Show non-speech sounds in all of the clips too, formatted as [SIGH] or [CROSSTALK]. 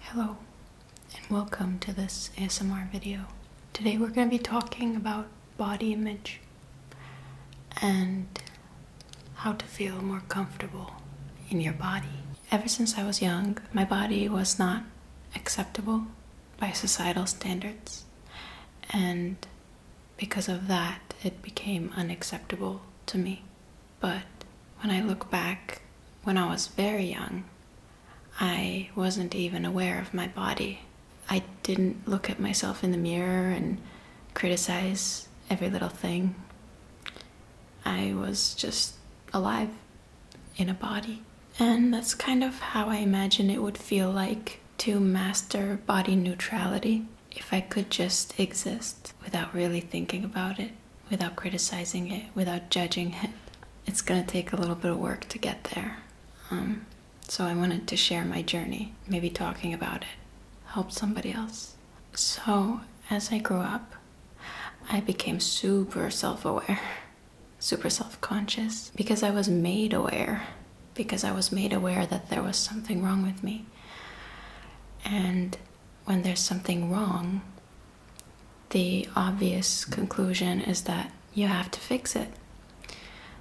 Hello and welcome to this ASMR video. Today we're going to be talking about body image and how to feel more comfortable in your body. Ever since I was young, my body was not acceptable by societal standards, and because of that, it became unacceptable to me. But when I look back, when I was very young, I wasn't even aware of my body. I didn't look at myself in the mirror and criticize every little thing. I was just alive in a body. And that's kind of how I imagine it would feel like to master body neutrality if I could just exist without really thinking about it, without criticizing it, without judging it, it's gonna take a little bit of work to get there. Um, so I wanted to share my journey, maybe talking about it, help somebody else. So as I grew up, I became super self aware, [LAUGHS] super self conscious, because I was made aware, because I was made aware that there was something wrong with me. And when there's something wrong, the obvious conclusion is that you have to fix it.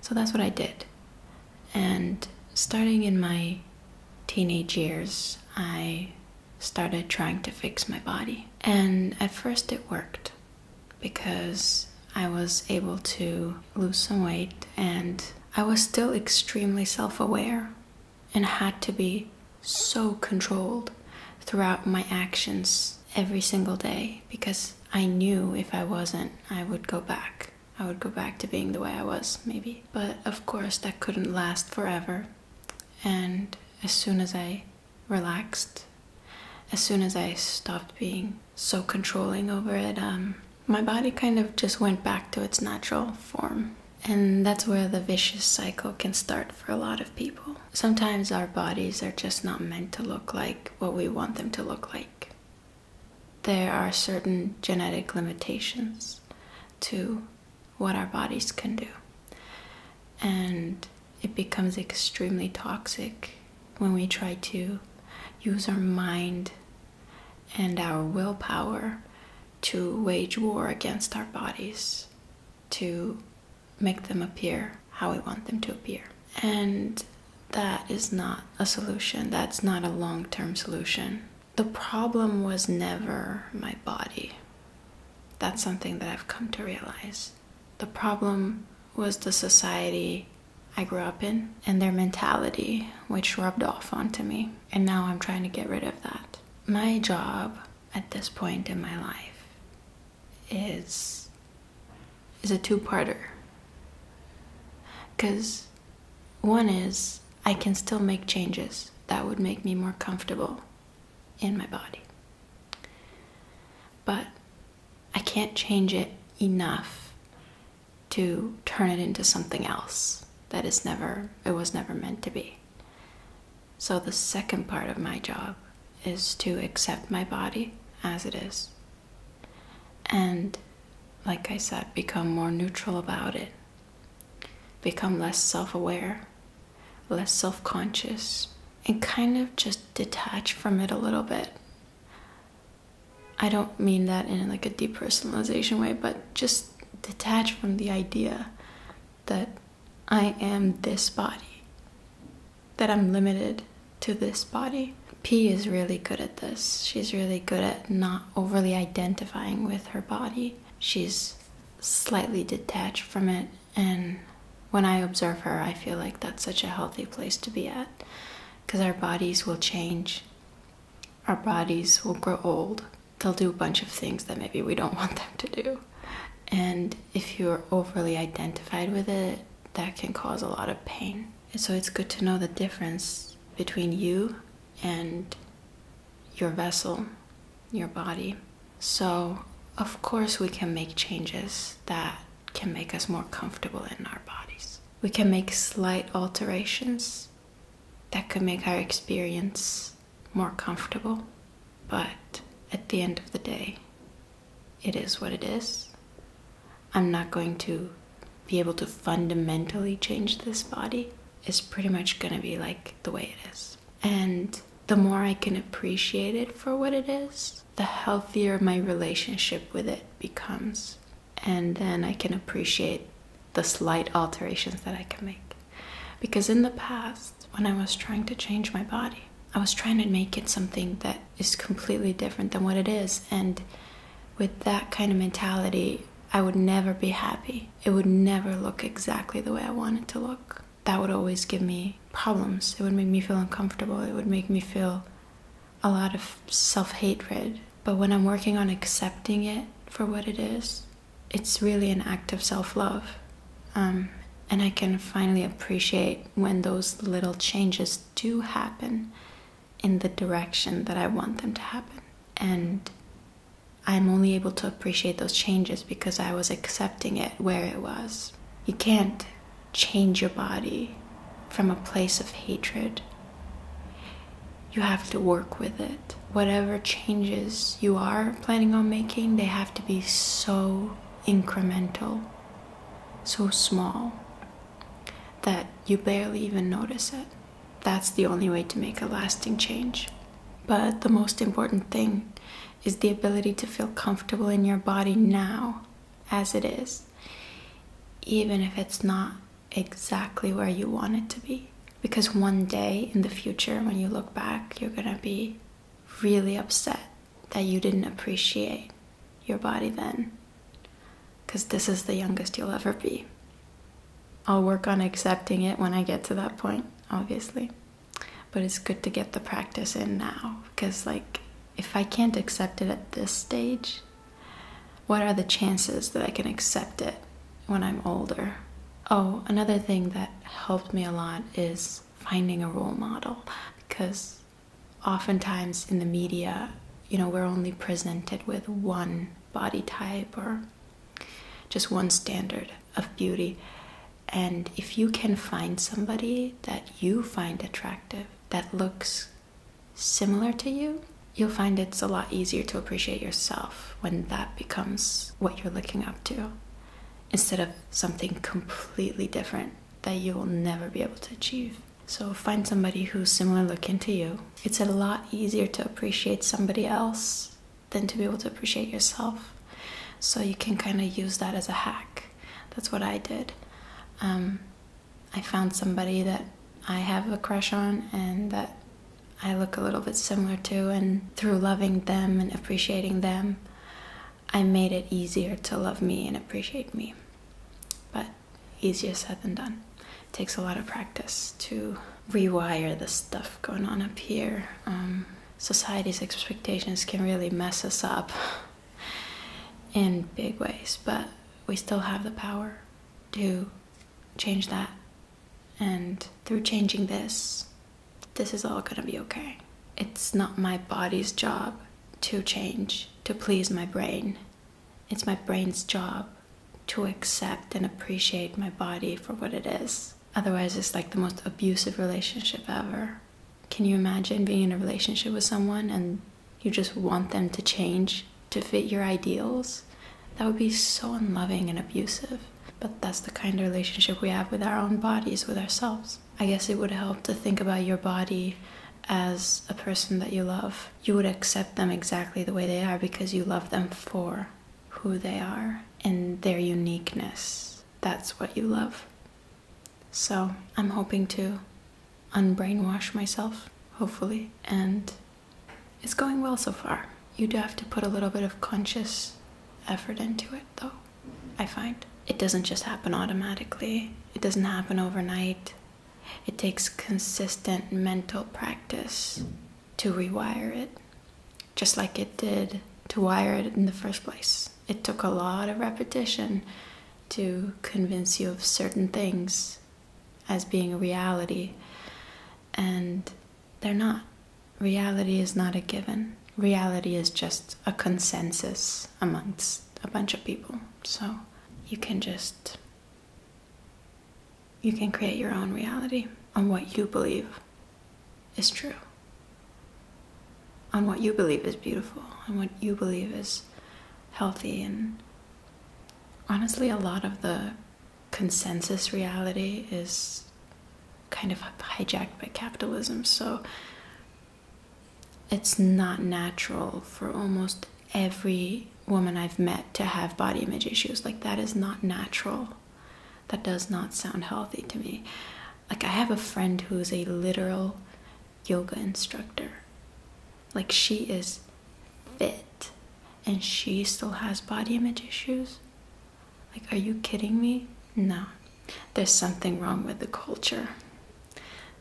So that's what I did. And starting in my teenage years, I started trying to fix my body. And at first it worked because I was able to lose some weight and I was still extremely self aware and had to be so controlled throughout my actions every single day because I knew if I wasn't, I would go back. I would go back to being the way I was, maybe. But of course, that couldn't last forever. And as soon as I relaxed, as soon as I stopped being so controlling over it, um, my body kind of just went back to its natural form. And that's where the vicious cycle can start for a lot of people. Sometimes our bodies are just not meant to look like what we want them to look like. There are certain genetic limitations to what our bodies can do. And it becomes extremely toxic when we try to use our mind and our willpower to wage war against our bodies to make them appear how we want them to appear. And that is not a solution. That's not a long term solution. The problem was never my body. That's something that I've come to realize. The problem was the society I grew up in and their mentality, which rubbed off onto me. And now I'm trying to get rid of that. My job at this point in my life is is a two-parter. Cuz one is I can still make changes that would make me more comfortable in my body. But I can't change it enough to turn it into something else that is never it was never meant to be. So the second part of my job is to accept my body as it is. And like I said, become more neutral about it. Become less self-aware, less self-conscious, and kind of just detach from it a little bit. I don't mean that in like a depersonalization way, but just detach from the idea that I am this body, that I'm limited to this body. P is really good at this. She's really good at not overly identifying with her body. She's slightly detached from it, and when I observe her, I feel like that's such a healthy place to be at because our bodies will change our bodies will grow old. They'll do a bunch of things that maybe we don't [LAUGHS] want them to do. And if you're overly identified with it, that can cause a lot of pain. so it's good to know the difference between you and your vessel, your body. So, of course, we can make changes that can make us more comfortable in our bodies. We can make slight alterations that could make our experience more comfortable, but at the end of the day, it is what it is. I'm not going to be able to fundamentally change this body. It's pretty much going to be like the way it is. And the more I can appreciate it for what it is, the healthier my relationship with it becomes and then I can appreciate the slight alterations that I can make. Because in the past, when I was trying to change my body, I was trying to make it something that is completely different than what it is. And with that kind of mentality, I would never be happy. It would never look exactly the way I wanted it to look. That would always give me problems. It would make me feel uncomfortable. It would make me feel a lot of self hatred. But when I'm working on accepting it for what it is, it's really an act of self love. Um, and I can finally appreciate when those little changes do happen in the direction that I want them to happen. And I'm only able to appreciate those changes because I was accepting it where it was. You can't change your body from a place of hatred. You have to work with it. Whatever changes you are planning on making, they have to be so incremental, so small, that you barely even notice it. That's the only way to make a lasting change. But the most important thing is the ability to feel comfortable in your body now as it is even if it's not exactly where you want it to be. Because one day in the future, when you look back, you're gonna be really upset that you didn't appreciate your body then. Because this is the youngest you'll ever be. I'll work on accepting it when I get to that point, obviously. But it's good to get the practice in now because, like, if I can't accept it at this stage, what are the chances that I can accept it when I'm older? Oh, another thing that helped me a lot is finding a role model because oftentimes in the media, you know, we're only presented with one body type or just one standard of beauty. And if you can find somebody that you find attractive, that looks similar to you, you'll find it's a lot easier to appreciate yourself when that becomes what you're looking up to instead of something completely different that you will never be able to achieve. So find somebody who's similar looking to you. It's a lot easier to appreciate somebody else than to be able to appreciate yourself. So you can kind of use that as a hack. That's what I did. Um, I found somebody that I have a crush on and that I look a little bit similar to, and through loving them and appreciating them, I made it easier to love me and appreciate me. But easier said than done. takes a lot of practice to rewire the stuff going on up here. Um, society's expectations can really mess us up in big ways, but we still have the power to change that. And through changing this, this is all gonna be okay. It's not my body's job to change to please my brain. It's my brain's job to accept and appreciate my body for what it is. Otherwise, it's like the most abusive relationship ever. Can you imagine being in a relationship with someone and you just want them to change to fit your ideals? That would be so unloving and abusive. But that's the kind of relationship we have with our own bodies, with ourselves. I guess it would help to think about your body as a person that you love. You would accept them exactly the way they are because you love them for who they are and their uniqueness that's what you love. So I'm hoping to unbrainwash myself, hopefully, and it's going well so far. You do have to put a little bit of conscious effort into it, though, I find. It doesn't just happen automatically, it doesn't happen overnight. It takes consistent mental practice to rewire it, just like it did to wire it in the first place it took a lot of repetition to convince you of certain things as being a reality, and they're not. Reality is not a given. Reality is just a consensus amongst a bunch of people. So you can just you can create your own reality on what you believe is true, on what you believe is beautiful, and what you believe is healthy. And honestly, a lot of the consensus reality is kind of hijacked by capitalism. So it's not natural for almost every woman I've met to have body image issues. Like, that is not natural. That does not sound healthy to me like i have a friend who is a literal yoga instructor like she is fit and she still has body image issues like are you kidding me no there's something wrong with the culture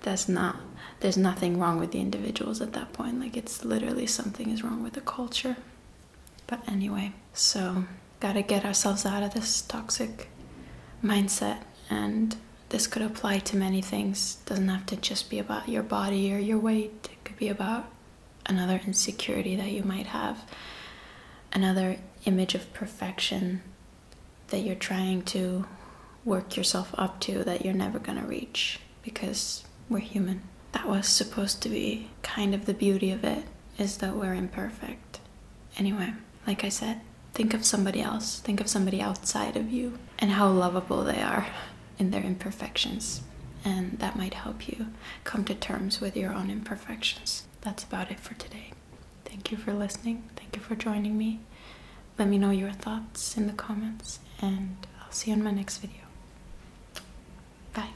that's not there's nothing wrong with the individuals at that point like it's literally something is wrong with the culture but anyway so got to get ourselves out of this toxic mindset and this could apply to many things doesn't have to just be about your body or your weight it could be about another insecurity that you might have another image of perfection that you're trying to work yourself up to that you're never going to reach because we're human that was supposed to be kind of the beauty of it is that we're imperfect Anyway, like I said, think of somebody else, think of somebody outside of you, and how lovable they are in their imperfections. And that might help you come to terms with your own imperfections. That's about it for today. Thank you for listening. Thank you for joining me. Let me know your thoughts in the comments, and I'll see you in my next video. Bye.